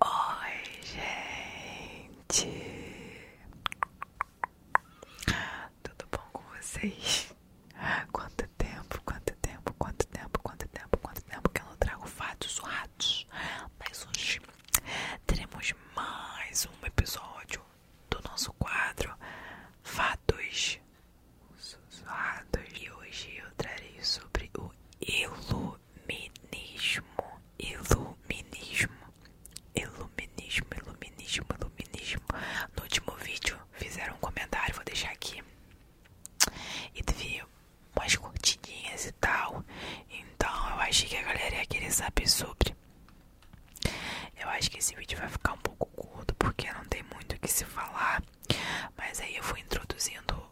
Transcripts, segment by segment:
Oi, gente, tudo bom com vocês? Quanto tempo, quanto tempo, quanto tempo, quanto tempo, quanto tempo que eu não trago fatos surrados, mas hoje teremos mais um episódio do nosso quadro Fatos sussurrados. E hoje eu trarei sobre o iluminismo. Iluminismo. Iluminismo, iluminismo, iluminismo. No último vídeo fizeram um comentário, vou deixar aqui. E teve umas curtidinhas e tal. Então eu achei que a galera ia querer saber sobre. Eu acho que esse vídeo vai ficar um pouco curto porque não tem muito o que se falar. Mas aí eu fui introduzindo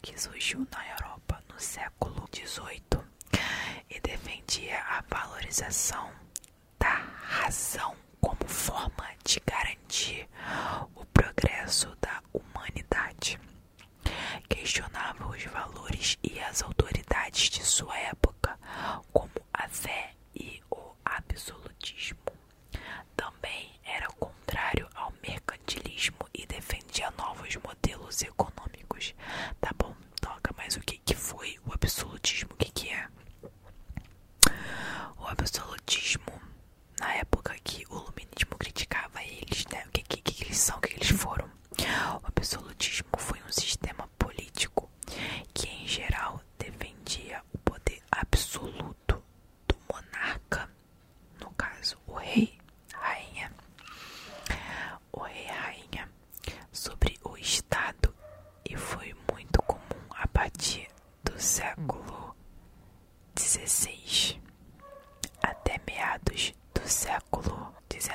que surgiu na Europa no século XVIII e defendia a valorização da razão como forma de garantir o progresso da humanidade. Questionava os valores e as autoridades de sua época, como a fé e o absolutismo. Também era contrário ao mercantilismo e defendia novos modelos econômicos. Tá bom, toca, mais o que, que foi o absolutismo? O que, que é? O absolutismo, na época que o iluminismo criticava eles, né? O que, que eles são, o que eles foram? O absolutismo foi um sistema político que, em geral, defendia o poder absoluto do monarca no caso o rei, rainha, o rei, rainha, sobre o Estado e foi muito comum a partir do século XVI até meados do século XIX.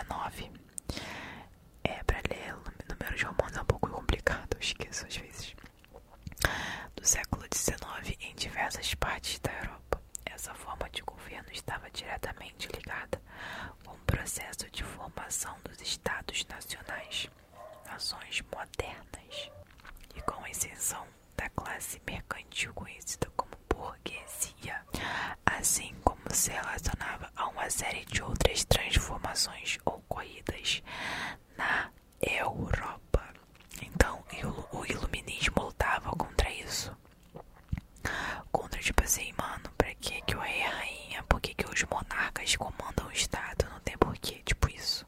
É, para ler números romanos é um pouco complicado, eu esqueço às vezes. Do século XIX em diversas partes da Europa essa forma de governo estava diretamente ligada com o processo de formação dos estados nacionais, nações modernas, e com a exceção da classe mercantil conhecida como burguesia, assim como se relacionava a uma série de outras transformações ocorridas na Europa. Então o iluminismo lutava contra isso. Contra, tipo assim, mano, pra que que o rei é rainha? Por que que os monarcas comandam o estado? Não tem porquê, tipo isso.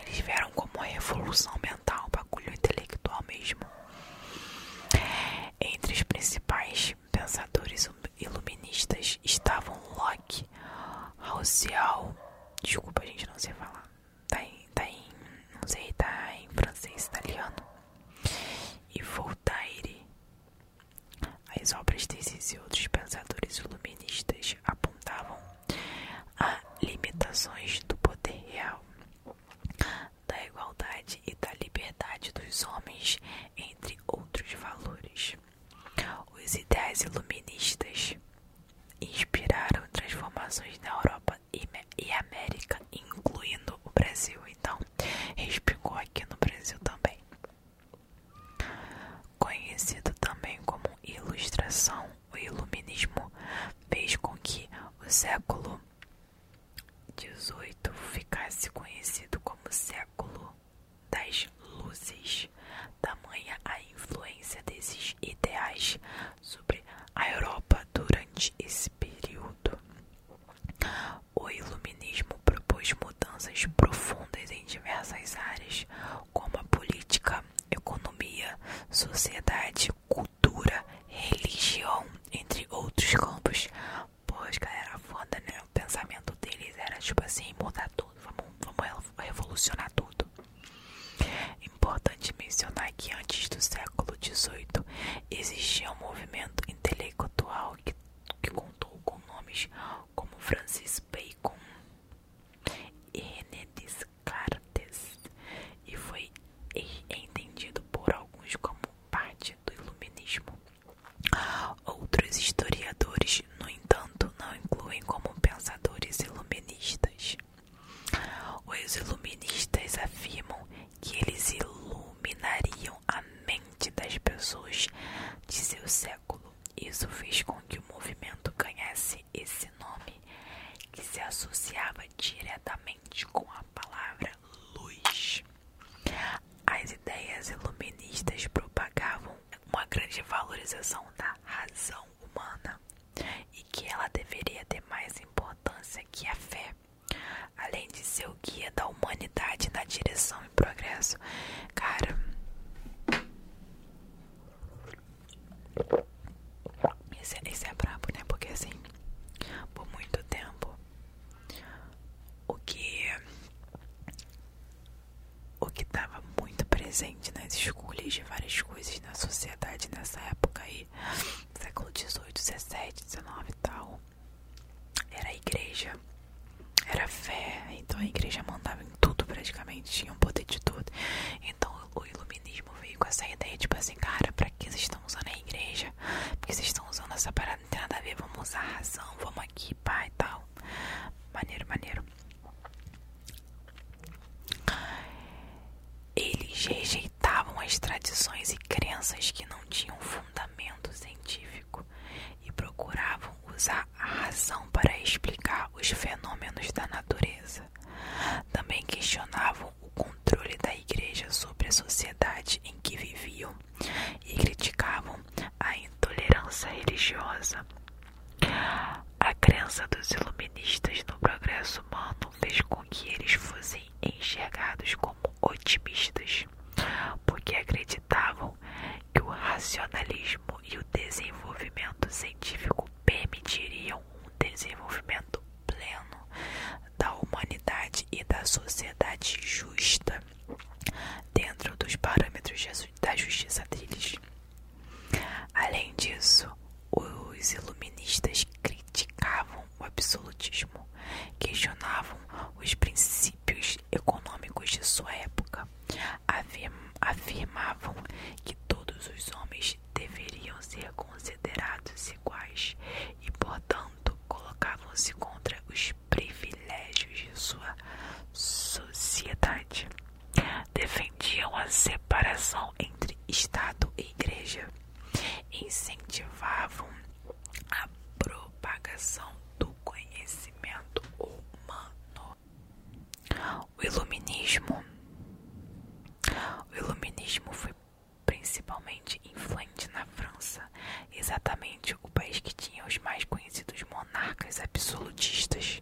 Eles vieram como uma revolução mental, bagulho intelectual mesmo. Entre os principais pensadores iluministas estavam Locke, Rousseau, desculpa, a gente não sei falar, tá, tá não sei, tá em francês, italiano. E Voltaire. As obras desses e outros pensadores iluministas apontavam a limitações do poder real, da igualdade e da liberdade dos homens, entre outros valores. Os ideais iluministas inspiraram transformações na Europa e América, incluindo o Brasil. Então, respingou aqui no Brasil também. Conhecido também como ilustração, o iluminismo fez com que o século XVIII ficasse conhecido como século das luzes, tamanha a influência desses ideais sobre a Europa durante esse período. O iluminismo propôs mudanças profundas em diversas áreas, como a política, economia, sociedade, cultura, religião, entre outros campos. Pois, galera, foda, né? O pensamento deles era tipo assim: mudar tudo, vamos, vamos revolucionar tudo. Importante mencionar que antes do século XVIII existia um movimento intelectual que, contou com nomes como Francis Bacon e René Descartes e foi entendido por alguns como parte do iluminismo. Outros historiadores, no entanto, não incluem como pensadores iluministas. Os iluministas afirmam que eles iluminariam a mente das pessoas de seu século. Isso fez com que o movimento ganhasse esse nome, que se associava diretamente com a palavra luz. As ideias iluministas propagavam uma grande valorização da razão humana e que ela deveria ter mais importância que a fé, além de ser o guia da humanidade na direção e progresso. Cara, esse, é, esse é brabo, né? Porque assim, por muito tempo, o que o que estava muito presente nas escolhas de várias coisas na sociedade nessa época aí, século XVIII, XVII, XIX e tal, era a igreja, era a fé, então a igreja mandava em tudo praticamente, tinha um poder de tudo. Então o iluminismo veio com essa ideia, tipo assim, cara, pra que vocês estão usando a igreja? Porque vocês estão usando essa parada, não tem nada a ver, vamos usar a razão, vamos aqui, pá e tal. Maneiro, maneiro. Eles rejeitavam as tradições e crenças que não tinham fundamento científico e procuravam usar a razão para explicar os fenômenos da natureza. Também questionavam o controle da igreja sobre a sociedade em que viviam e criticavam a intolerância religiosa a crença dos iluministas no progresso humano fez com que eles fossem enxergados como otimistas, porque acreditavam que o racionalismo e o desenvolvimento científico permitiriam um desenvolvimento pleno da humanidade e da sociedade justa dentro dos parâmetros da justiça deles. Além disso, os iluministas criticavam o absolutismo, questionavam os princípios econômicos de sua época, afirmavam que todos os homens deveriam ser considerados iguais e, portanto, colocavam-se contra os privilégios de sua sociedade defendiam a separação entre Estado e Igreja, incentivavam a propagação do conhecimento humano. O Iluminismo. O Iluminismo foi principalmente influente na França, exatamente o país que tinha os mais conhecidos monarcas absolutistas.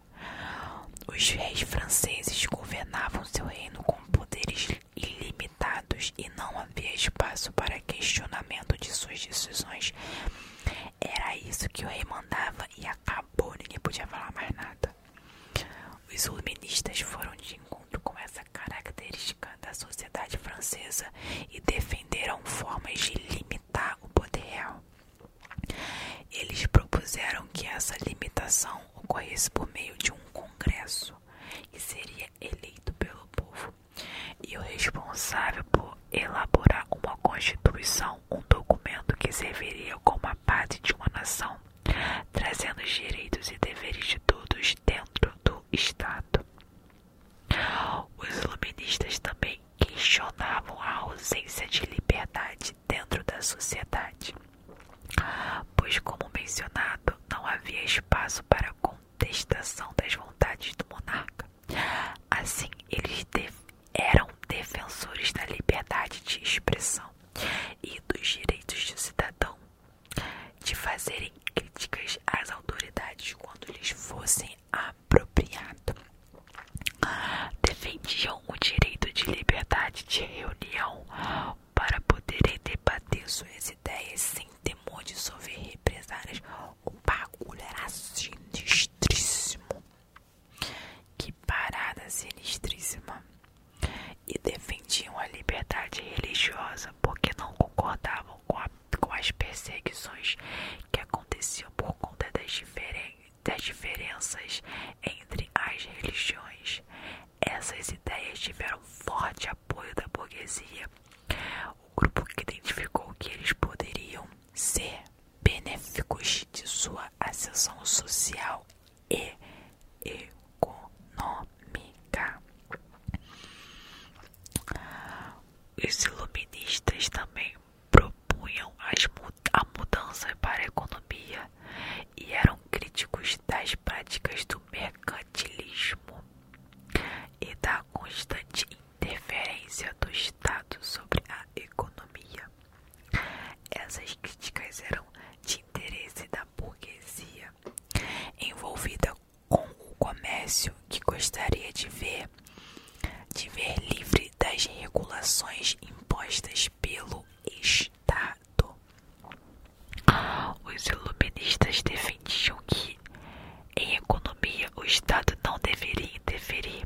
Os reis franceses governavam seu reino com poderes ilimitados e não havia espaço para questionamento de suas decisões. Era isso que o rei mandava e acabou, ninguém podia falar mais nada. Os iluministas foram de encontro com essa característica da sociedade francesa e defenderam formas de limitar o poder real. Eles propuseram que essa limitação ocorresse por meio de um congresso que seria eleito pelo povo e o responsável por elaborar uma constituição, um documento que serviria como a parte de uma nação, trazendo os direitos e deveres de todos dentro do Estado. Os iluministas também questionavam a ausência de liberdade dentro da sociedade, pois, como mencionado, não havia espaço para contestação das vontades do monarca. Assim, eles eram defensores da liberdade de expressão e dos direitos do cidadão de fazerem críticas às autoridades quando lhes fossem a apropriado. Defendiam o direito de liberdade de reunião para poderem debater suas ideias sem temor de sofrer represárias. O bagulho sinistríssimo. Que parada sinistríssima. E defendiam a liberdade religiosa porque não concordavam com a com as perseguições que aconteciam por conta das diferenças entre as religiões. Essas ideias tiveram forte apoio da burguesia, o grupo que identificou que eles poderiam ser benéficos de sua ascensão social e econômica. Os iluministas também propunham a mudança para a economia e eram críticos das práticas do mercantilismo e da constante interferência do Estado sobre a economia. Essas críticas eram de interesse da burguesia envolvida com o comércio que gostaria de ver poder livre das regulações impostas pelo Estado. Os iluministas defendiam que, em economia, o Estado não deveria interferir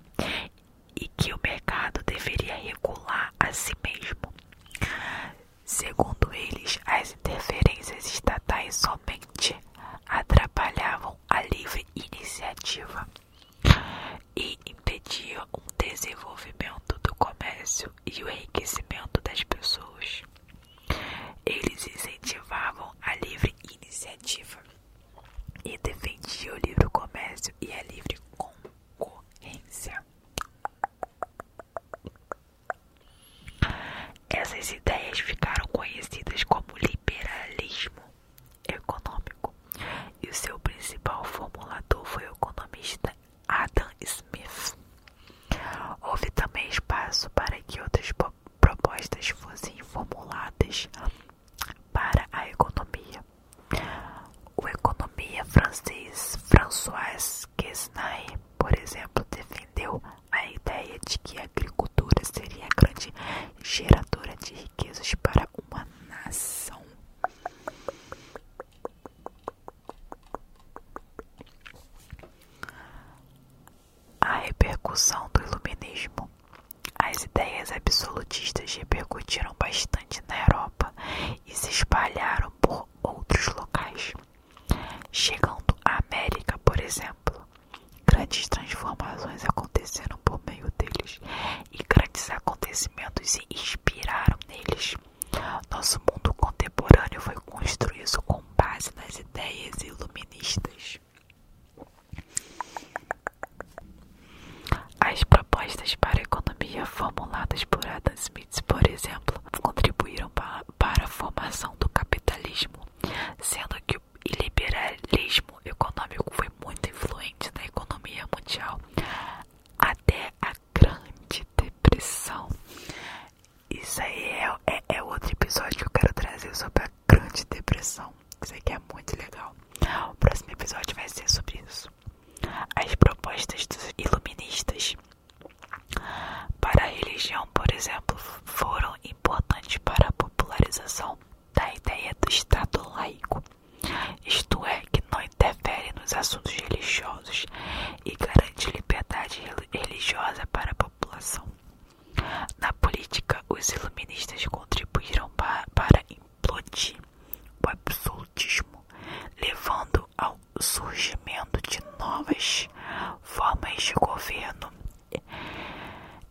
e que o mercado deveria regular a si mesmo. Segundo eles, as interferências estatais somente atrapalhavam a livre iniciativa e impedia o desenvolvimento do comércio e o enriquecimento das pessoas. Eles incentivavam a livre iniciativa e defendiam o livre comércio e a livre concorrência. Essas ideias ficaram conhecidas como liberalismo econômico, e o seu principal formulador foi o economista Adam Smith. Houve também espaço para que outras propostas fossem formuladas para a economia. O economista francês François Quesnay, por exemplo, defendeu a ideia de que a agricultura seria a grande geradora de riquezas para uma nação. A repercussão do iluminismo. As ideias absolutistas repercutiram bastante na Europa e se espalharam por outros locais, chegando à América, por exemplo. Grandes transformações aconteceram por meio deles e grandes acontecimentos se inspiraram neles. Nosso mundo contemporâneo foi construído com base nas ideias iluministas. As propostas para a economia formuladas por Adam Smith, por exemplo, contribuíram para a formação do capitalismo sendo que o liberalismo econômico foi muito influente na economia mundial até a Grande Depressão. Isso aí é, é, é outro episódio que eu quero trazer sobre a Grande Depressão. Isso aqui é muito legal. O próximo episódio vai ser sobre isso. As propostas dos iluministas para a religião por exemplo, foram importantes para a popularização da ideia do Estado laico, isto é, que não interfere nos assuntos religiosos e garante liberdade religiosa para a população. Na política, os iluministas contribuíram para implodir o absolutismo, levando ao surgimento de novas formas de governo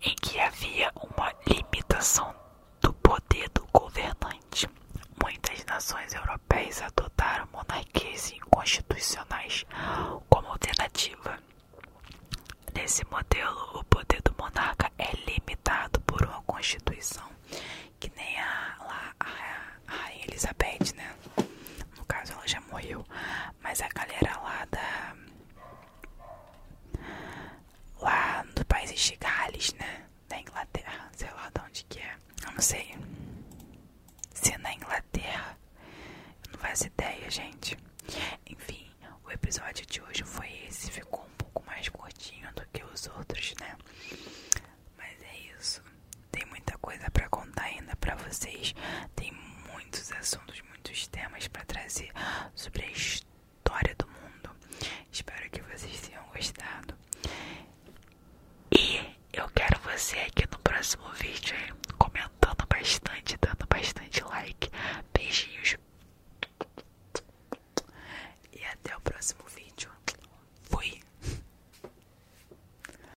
em que havia uma limitação do poder do governante. Muitas nações europeias adotaram monarquias inconstitucionais como alternativa. Nesse modelo, o poder do monarca é limitado por uma constituição, que nem a, a, Elizabeth, né? No caso, ela já morreu, mas a galera lá da. Lá do país de Gales, né? Da Inglaterra, sei lá de onde que é. Eu não sei. Se é na Inglaterra. não faço ideia, gente. Enfim, o episódio de hoje foi esse. Ficou um pouco mais curtinho do que os outros, né? Mas é isso. Tem muita coisa para contar ainda para vocês. Tem muitos assuntos, muitos temas para trazer sobre a história do mundo. Espero que vocês tenham gostado. E eu quero você aqui no próximo vídeo, comentando bastante, dando bastante like. Beijinhos. E até o próximo vídeo. Fui.